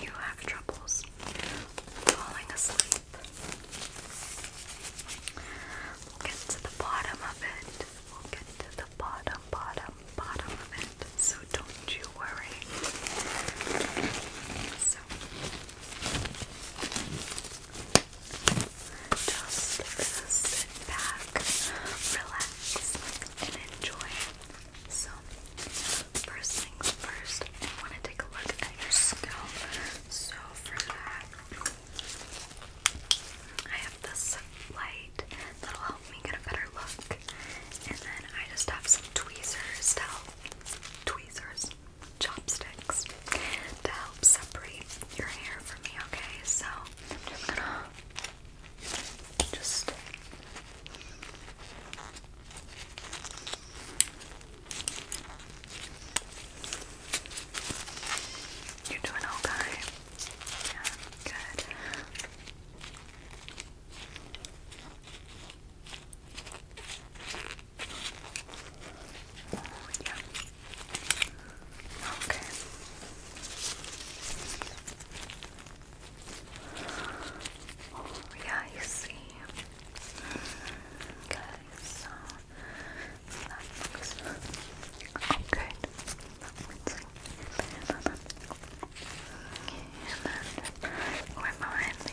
you have troubles falling asleep? We'll get to the bottom of it. We'll get to the bottom, bottom, bottom of it. So don't you worry. So just sit back, relax, and enjoy so, first things first, I want to take a look at your scalp. So, for that, I have this light that'll help me get a better look. And then I just have some tweezers to help, tweezers, chopsticks to help separate your hair from me, okay? So, I'm just gonna just you're doing okay. Yeah, good. Oh, yeah. Okay. Oh, yeah, I see. Okay, so that looks oh, And then we're behind the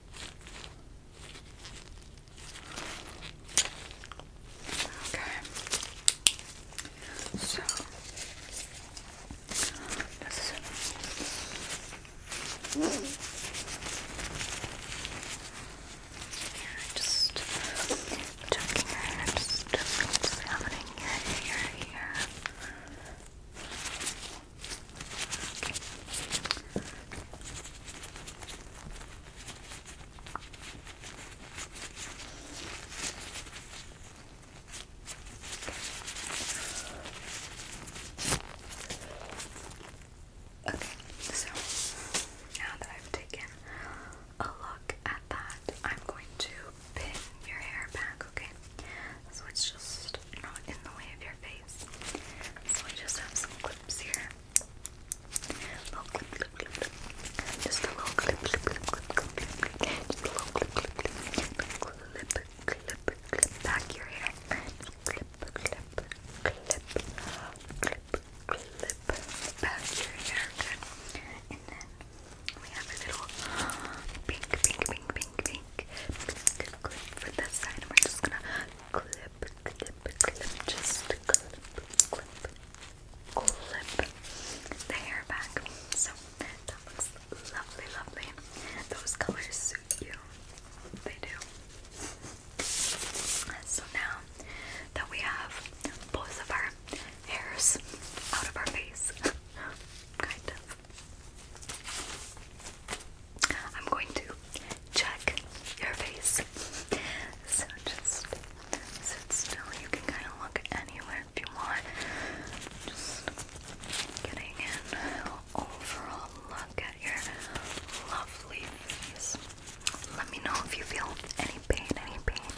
Okay. So just checking here, just what's happening here, here, here. Okay, so now that I've taken a look at that, I'm going to pin your hair back, okay? so it's just not in the way of your face. So I just have some clips here. Little clip, clip, clip, clip. Just a little clip, clip, clip, clip, clip, clip. Just a little clip, clip, clip, clip, clip, clip back your hair. Clip, clip, clip, clip, clip back your hair. Good. And then we have a little pink, pink, pink, pink, pink pink, pink clip for this side, and we're just gonna clip, clip, clip, just clip, clip, clip the hair back. So that looks lovely, lovely. Those colors suit you. They do. So now that we have both of our hairs out of our face, kind of, I'm going to check your face. So just sit still. You can kind of look anywhere if you want. Just getting an overall look at your lovely face. Let me know if you feel any pain, any pain.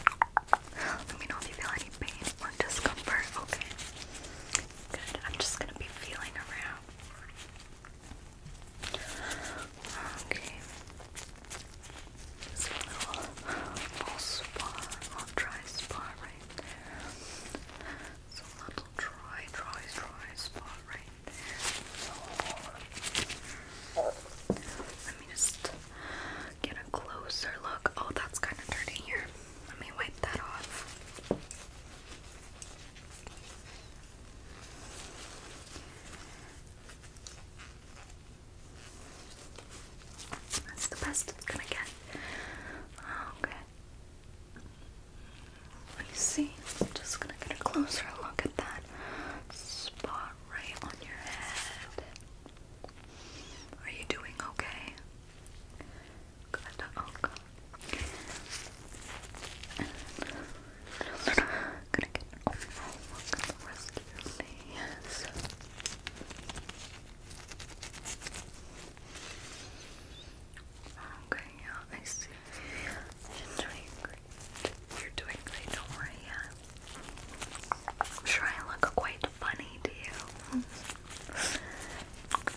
Let me know if you feel any pain or discomfort. Okay. Good. I'm just gonna be feeling around. Okay. It's a little, little spa, little dry spot right It's a little dry, dry, dry spot right there. let me just get a closer look. Oh, that's kind of dirty here. Let me wipe that off. That's the best it's gonna get. Oh, okay. me see, I'm just gonna get a closer look at that spot right on your head. Are you doing okay? I'm gonna get an overall the rest Okay, I see. You're doing great. You're doing great, don't worry, I'm sure I look quite funny to you. okay,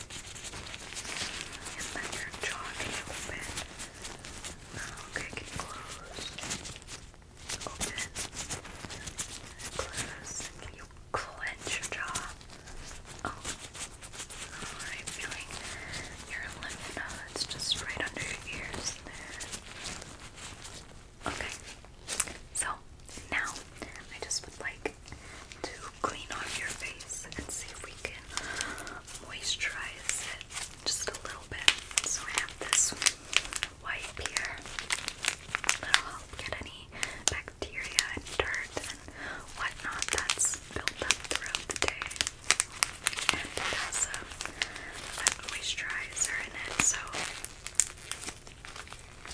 And then your jaw oh, can open. Okay, you close? Open. Close. you clench your jaw? Oh. Alright, feeling your lymph nodes just right under your ears Okay. So now I just would like to clean off your face and see if we can moisturize it just a little bit. So I have this wipe here that'll help get any bacteria and dirt and whatnot that's built up throughout the day. And it has a moisturizer in it, so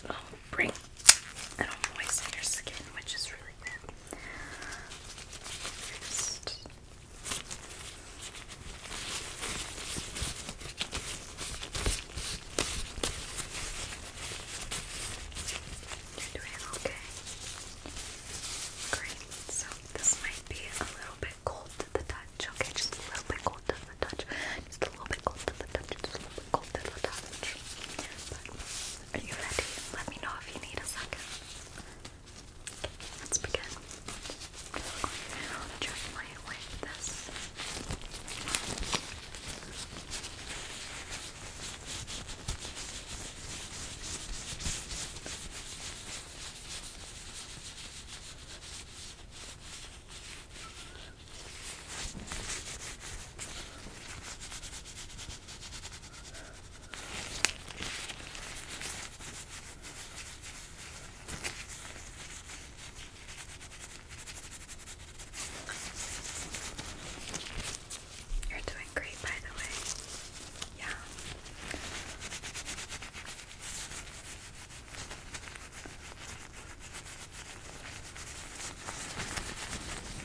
it'll bring it'll moisten your skin, which is really good. First. You're doing okay. Great. So this might be a little bit cold to the touch. Okay, just a little bit cold to the touch. Just a little bit cold to the touch. Just a little bit cold to the touch. Are you ready? Let me know if you need a second. let's begin. I'll with this. You're doing great, by the way. Yeah.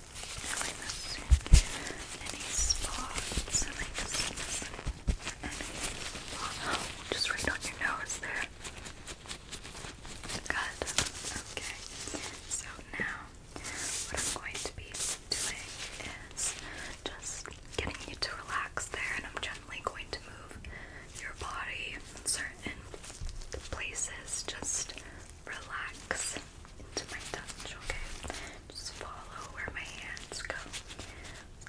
any spots, just right on your nose there. Good. Okay. So now, what I'm going to be doing is just getting you to relax there, and I'm gently going to move your body in certain places just relax into my touch, okay? Just follow where my hands go.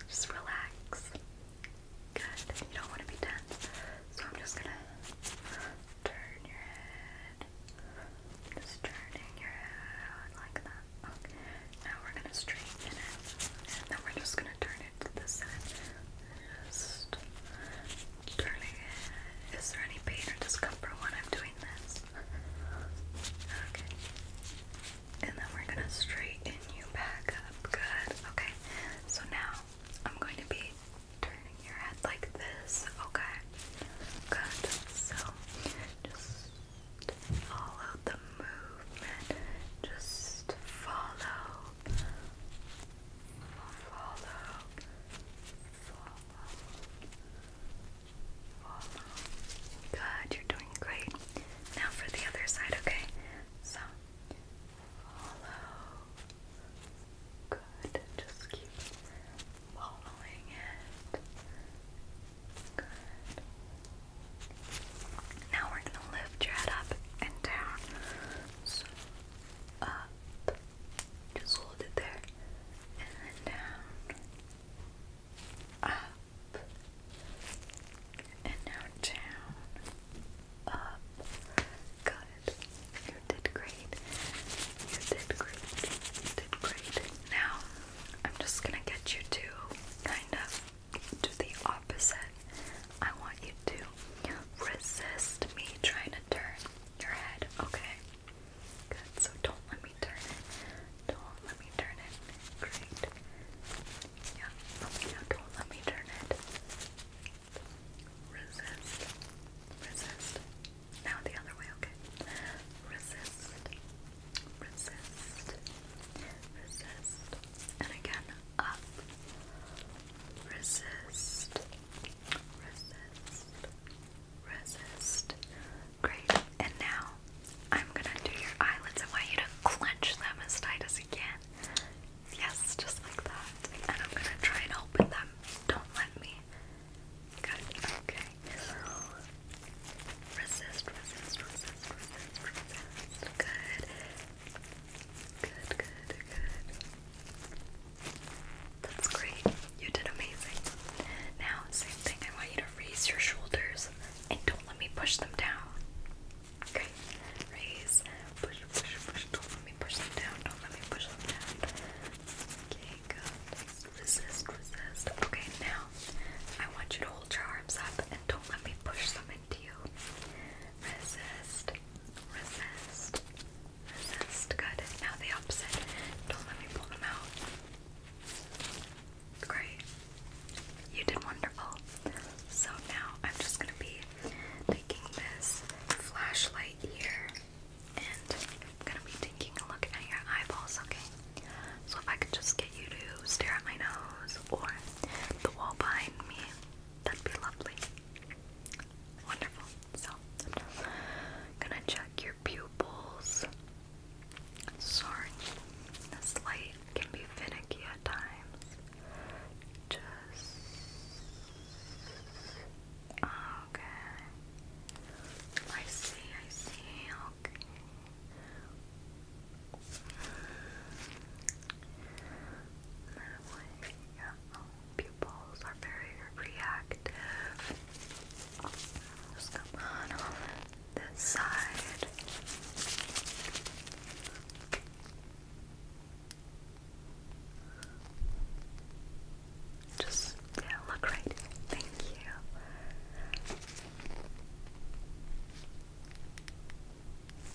Just relax. Good. You don't want to be tense. So I'm just gonna turn your head. Just turning your head like that. Okay. Now we're gonna straighten it. And then we're just gonna turn it to this side. Just turning it. Is there any pain or discomfort when I'm doing this? Okay. And then we're gonna straighten you back up. Good. Okay. So now I'm going to be turning your head like this. Okay. Good. So just follow the movement. Just follow. Follow. Follow. Good, you're doing great. Now for the other side, okay? So, follow. Good, just keep following it. Good. Now we're gonna lift your head up and down. So, up, just hold it there. And then down. Up. And now down. Up. Got it. You did great. You did great. You did great. Now, I'm just gonna get you to kind of do the opposite. I want you to resist me trying to turn your head, okay? Good, so don't let me turn it. Don't let me turn it. Great. Yeah, now don't let me turn it. Resist. Resist. Now the other way, okay. Resist. Resist. Resist. And again, up. Resist. Resist resist. Great. And now I'm gonna do your eyelids. I want you to clench them as tight as you can. Yes, just like that. And I'm gonna try and open them. Don't let me. Good. Okay. Resist, resist, resist, resist, resist. Good. Good, good, good. That's great. You did amazing. Now, same thing. I want you to raise your shoulders and don't let me push them down. Okay? Raise, push, push, push. Don't let me push them down. Don't let me push them down. Okay, good. Resist, resist. Okay, now I want you to hold your arms up and don't let me push them into you. Resist, resist, that's good. Now the opposite. Don't let me pull them out. Great. You did wonderful. So now I'm just going to be taking this flashlight here and I'm going to be taking a look at your eyeballs, okay? So if I could just get you to stare at my nose or the wall behind me, that'd be lovely. Wonderful. So i gonna check your pupils. Sorry, this light can be finicky at times. Just okay. I see, I see, okay. That pupils are very reactive. Just come on this side. Just yeah, look right Thank you.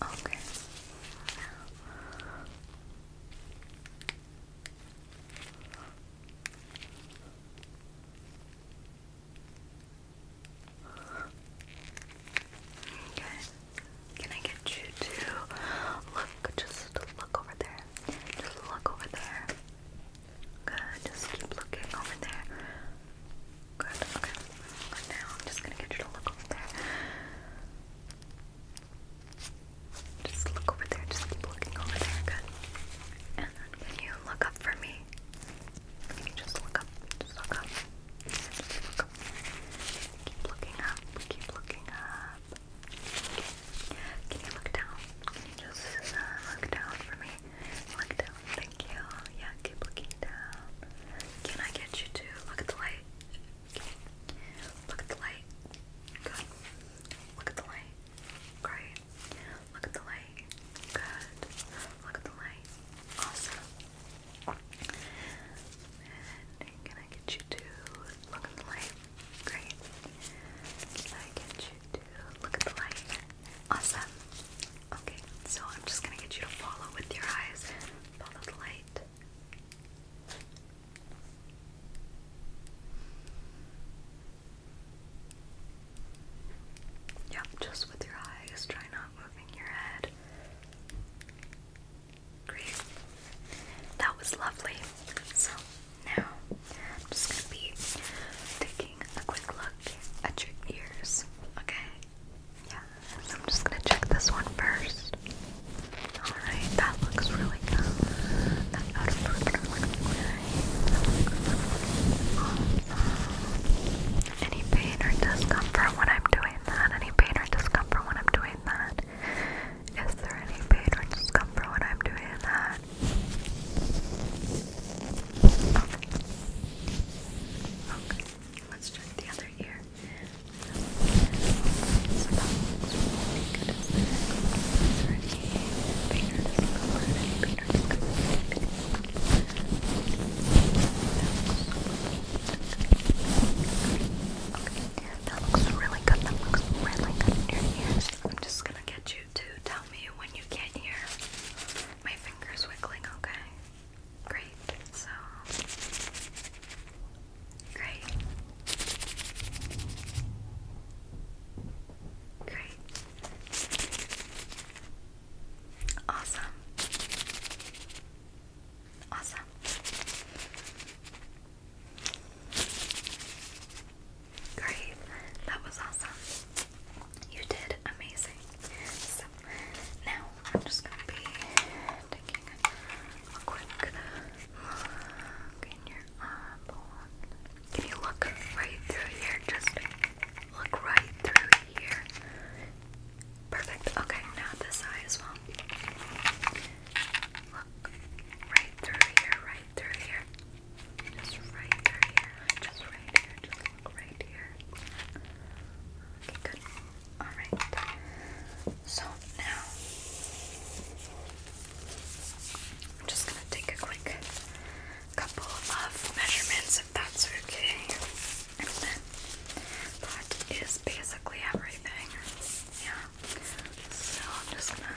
Okay. Okay. Can I get you to look, just look over there. Just look over there. Good. Just keep looking over there. Good. Okay. Now I'm just gonna get you to look over there. Just look over there. Just keep looking over there. Good. And then can you look up for me? Can you just look up? Just look up. Just look up. Keep looking up. Keep looking up. Okay. Can you look down? Can you just uh, look down for me? Look down. Thank you. Yeah, keep looking down. Can I get you to look at the light? Okay. Look at the light. Good. Look at the light. Great. Look at the light. Good. Look at the light. Awesome. And can I get you to look at the light? Great. Can I get you to look at the light? Awesome. Okay, so I'm just gonna get you to follow with your eyes. Follow the light. Yep, just with your eyes. Try not moving your head. Great. That was lovely. So now I'm just gonna be taking a quick look at your ears. Okay. Yeah. So I'm just gonna check this one first. Alright, that looks really good. Any pain or discomfort when I'm doing that? Any pain or discomfort when I'm doing that? Is there any pain or discomfort when I'm doing that? Okay. Okay. Let's check the other ear. That looks really good. That looks really good in your ears. I'm just gonna get you to tell me when you can't hear my fingers wiggling, okay? Great. So great. Great. Awesome. Awesome. Great. That was awesome. You did amazing. now I'm just gonna be taking a quick can you look right through here? Just look right through here. Perfect. Okay, now this eye as well. Look right through here, right through here. Just right through here. Just right here. Just look right here. Okay, good. Alright. So now I'm just gonna take a quick couple of measurements if that's okay. And then that is basically everything. Yeah. So I'm just gonna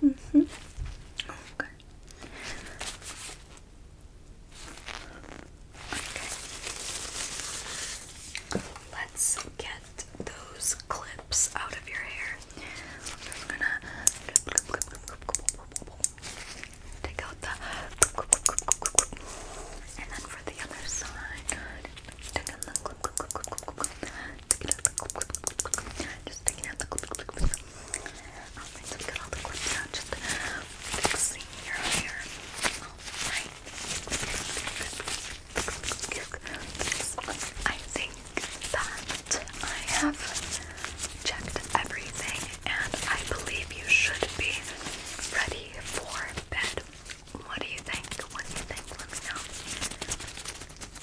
Mm -hmm. Okay. Okay. Let's get those clips out of your hair. Take out the and then for the other side, Take out the Just take out the Alright, so we got all the clips out. Just fixing your hair. I think that I have checked everything and I believe you should be ready for bed. What do you think? What do you think? Let me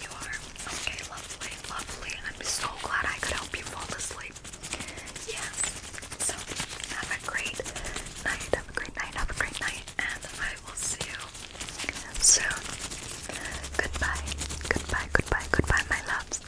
You are? Okay, lovely, lovely. I'm so glad I could help you fall asleep. Yes. So, have a great night, have a great night, have a great night, and I will see you soon. Goodbye, goodbye, goodbye, goodbye, my loves.